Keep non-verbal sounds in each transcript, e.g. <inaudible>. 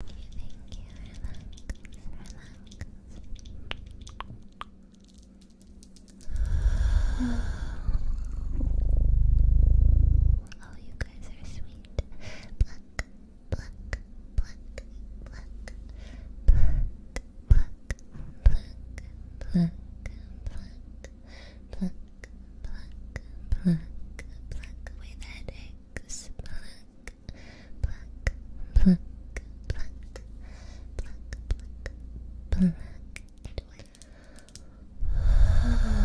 thank you, Oh, you guys are sweet pluck, pluck, pluck, pluck, pluck, Thank you.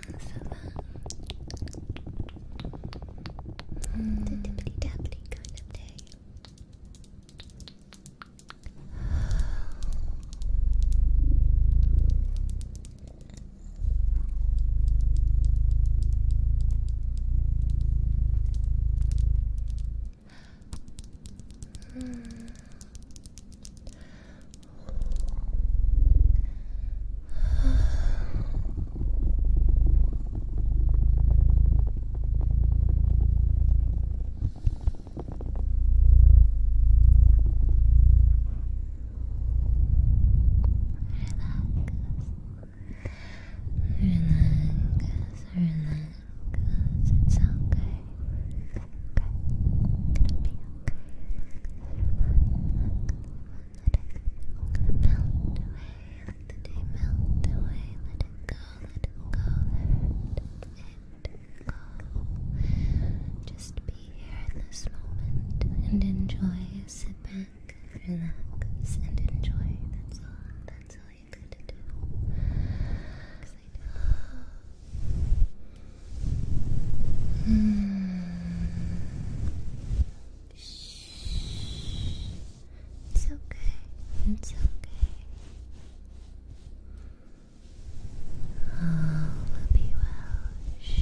Mm. The dippity dappity kind of Relax, relax, it's okay. it's okay it melt away, let the melt away, let it go, let it go, let it go. Just be here in this moment and enjoy. Sit back, relax, and enjoy. That's all. That's all you gotta do. Mm. It's okay. It's okay. All will be well. Shh.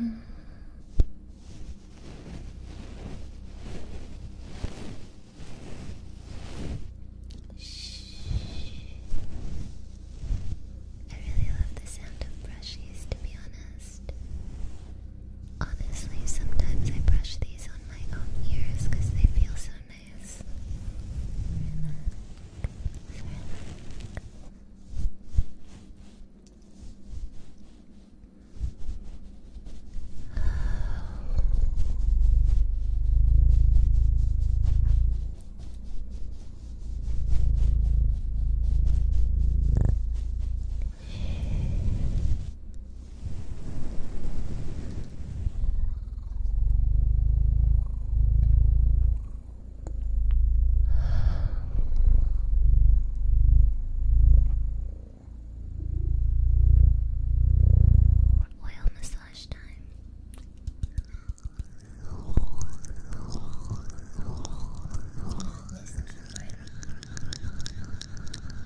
Mm. Shh. I really love the sound of brushes, to be honest. Honestly, sometimes I brush these on my own ears because they feel so nice. Relax. Oil massage time. This is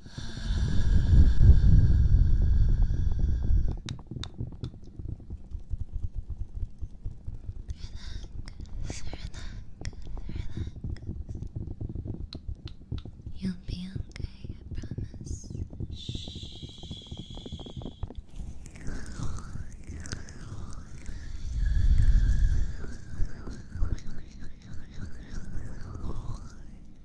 Relax, relax, relax. You'll be okay, I promise. <laughs>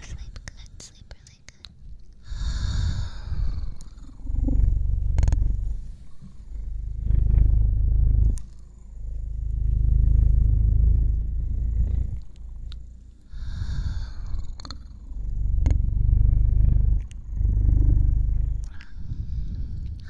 Sleep good, sleep really good.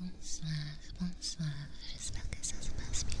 Bonsoir, bonsoir, j'espère que ça se passe bien.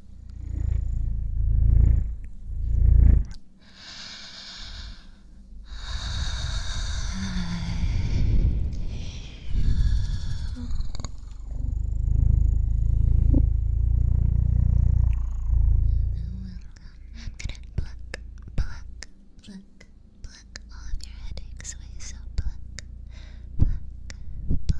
gonna pluck, pluck, pluck, pluck all of your headaches away. So pluck, pluck, pluck.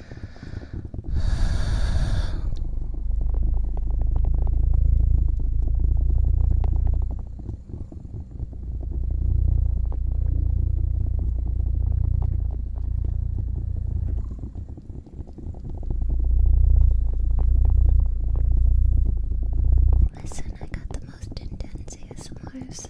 Listen, I got the most intense ASMR,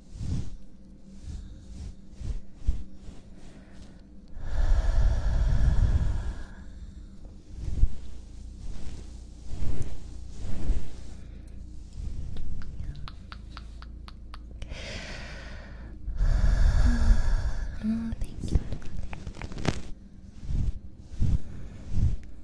<sighs> Oh, thank you. Thank you.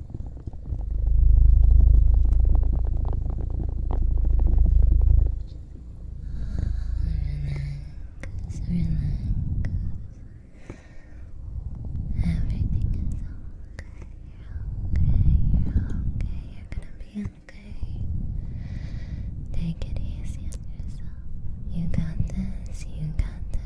Relax, relax. Everything is okay. You're okay. You're okay. You're gonna be okay. Take it easy on yourself. You got this. You got this.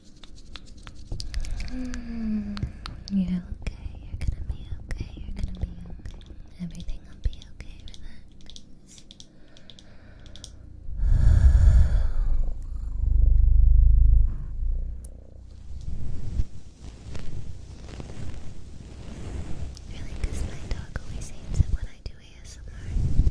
Mm, yeah. okay. You're gonna be okay. You're gonna be okay. Everything will be okay. Relax. my dog always hates it when I do ASMR.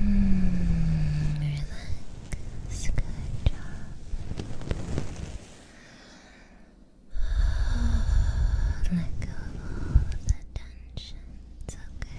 Mm, relax. Good job. Let go of all the tensions, okay?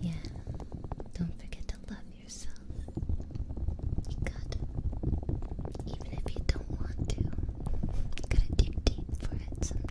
Yeah, don't forget to love yourself. You gotta, even if you don't want to, you gotta dig deep for it sometimes.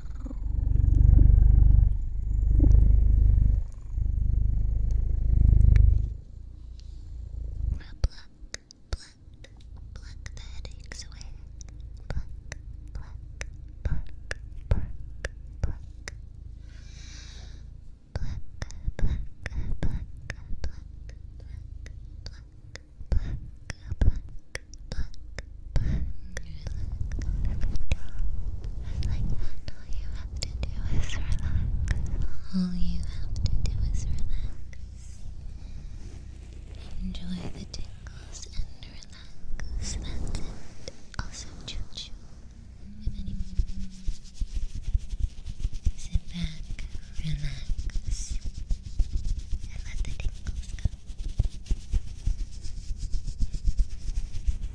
Now pluck, pluck, pluck the headaches away. Pluck, pluck, pluck, pluck, pluck. Pluck, pluck, pluck, pluck, pluck, pluck, pluck, pluck, pluck, pluck. Like all you have to do is relax. All you have to do is relax. Enjoy the tingles and relax. Also, choo choo. Sit back, relax, and let the tingles go.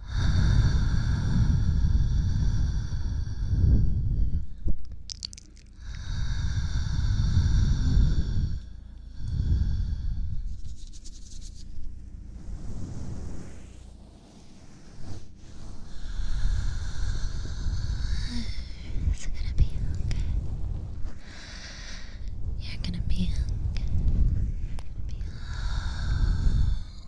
It's going gonna be okay. You're gonna be okay.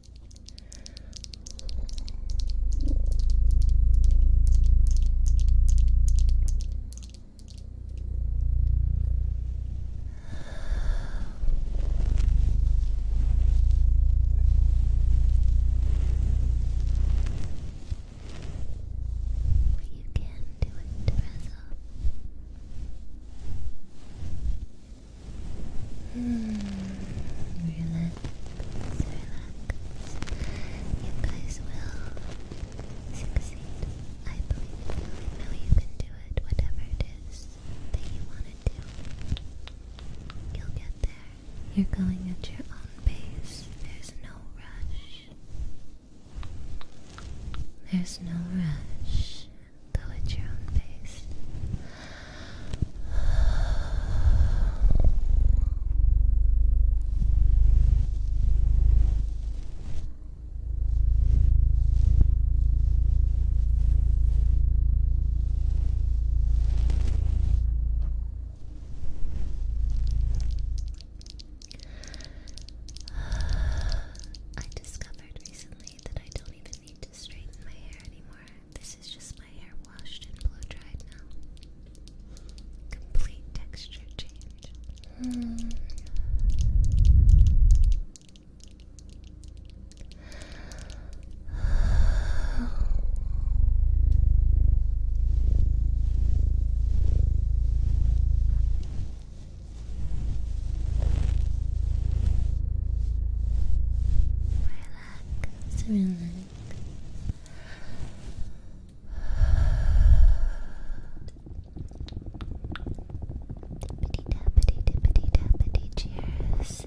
You can do it, Drizzle. Relax, You guys will succeed. I believe I know you can do it. Whatever it is that you want to do, you'll get there. You're going at your own pace. There's no rush. There's no rush. I discovered recently that I don't even need to straighten my hair anymore. This is just my hair washed and blow dried now. Complete texture change relax, relax. Dippity dappity dippity dappity cheers.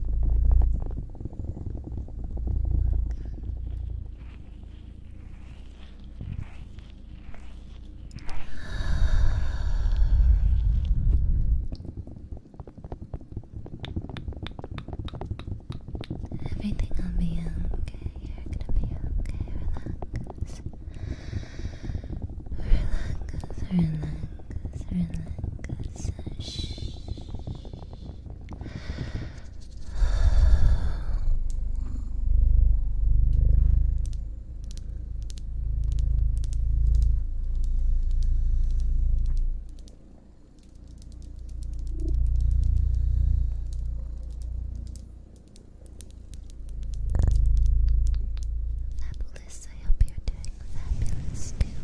Everything will be okay. You're gonna be okay. Relax. Relax. Fabulous, I hope you're doing fabulous too.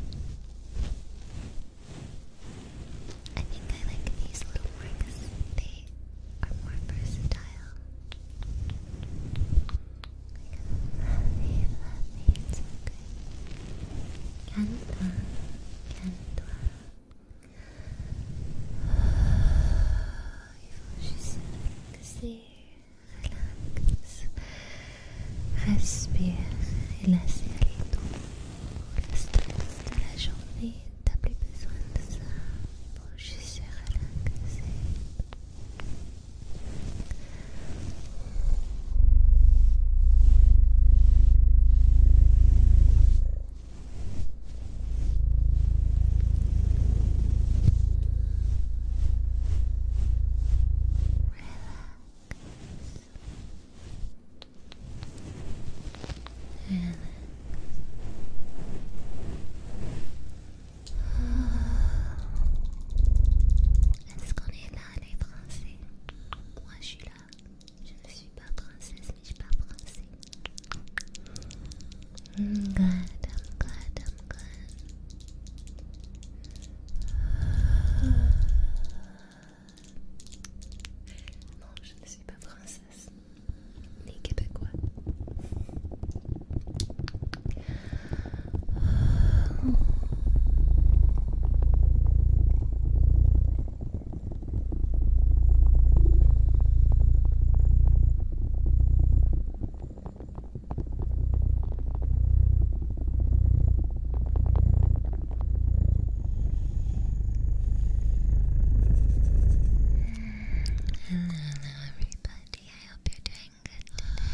I think I like these little more they are more versatile. Lovely, lovely, it's so good. Cantua, Cantua. Il faut Relaxe, respire et laisse aller tout le stress de la journée. n'as plus besoin de ça bon je suis relaxer. Est-ce qu'on est là les Français Moi je suis là. Je ne suis pas princesse, mais je suis pas français. I'm I'm I'm non, je ne suis pas princesse, ni québécois. Hello, everybody. I hope you're doing good today. Relax.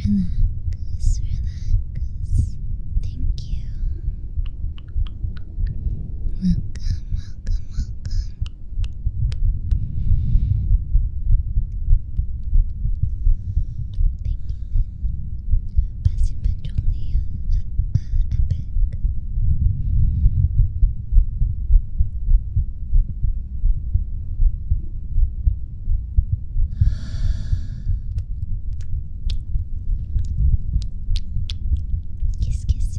Relax, relax, relax. Thank you. Welcome, welcome, welcome. Benjamin. Passing Benjoli on kiss, kiss.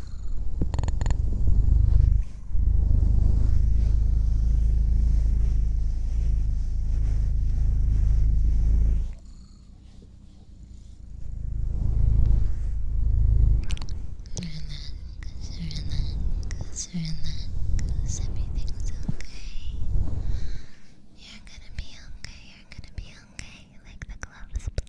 Relax, relax, everything's okay. You're gonna be okay, you're gonna be okay. Like the gloves,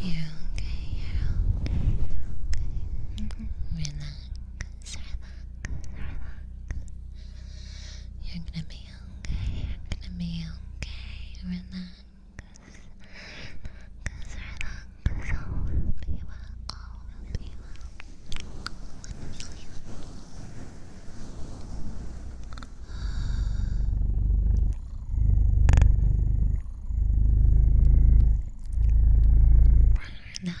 You're okay, you okay. Mm-hmm. Relax relax, You're gonna be okay, you're gonna be okay. Relax, relax, relax. All will be well, all will be well. Relax.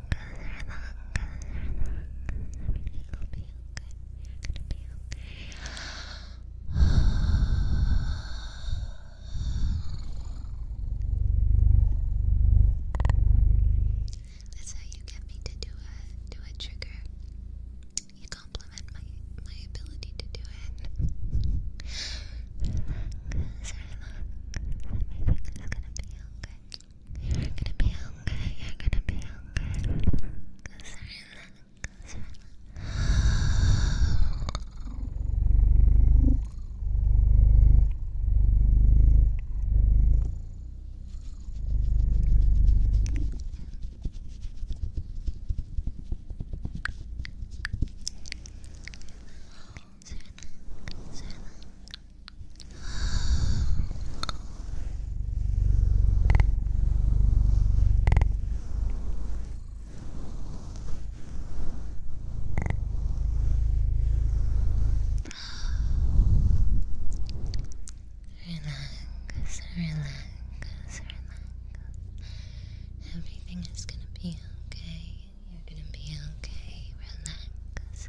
That's how you get me to do a do a trigger. You compliment my my ability to do it. Relax, relax. Everything's going you're gonna be okay. You're gonna be okay. Just relax. Relax. Relax, relax, relax. Everything is gonna be okay. You're gonna be okay. Relax.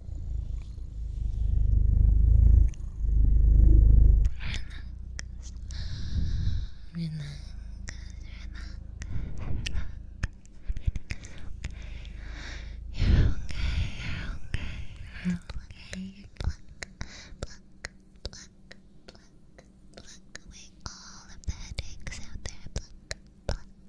pluck, pluck away all of the headaches out there, pluck, pluck,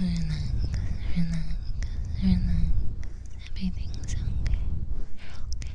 Relax. Relax, relax, relax. Everything's okay. You're okay.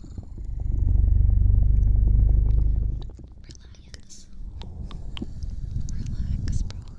Relax. Relax, bro. Relax.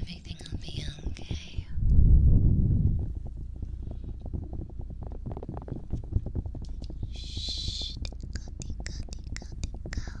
Everything will be okay. Shh, tickle, tickle, tickle, tickle.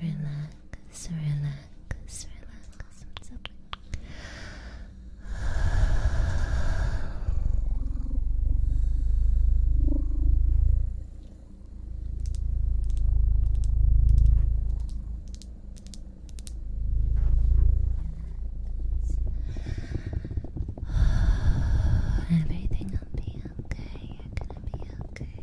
relax, relax, relax. Everything will be okay. you gonna be okay.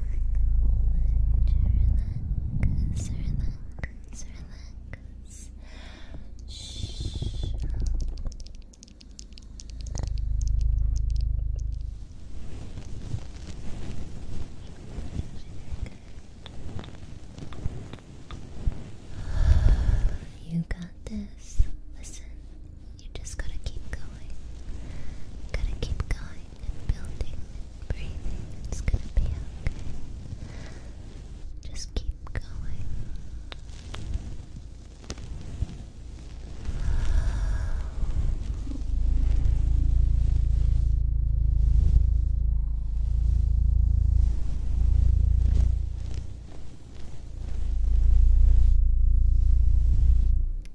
relax, relax, relax. Shh. You got this. Listen, you just gotta keep going. Gotta keep going and building breathing. It's gonna be okay. Just keep going.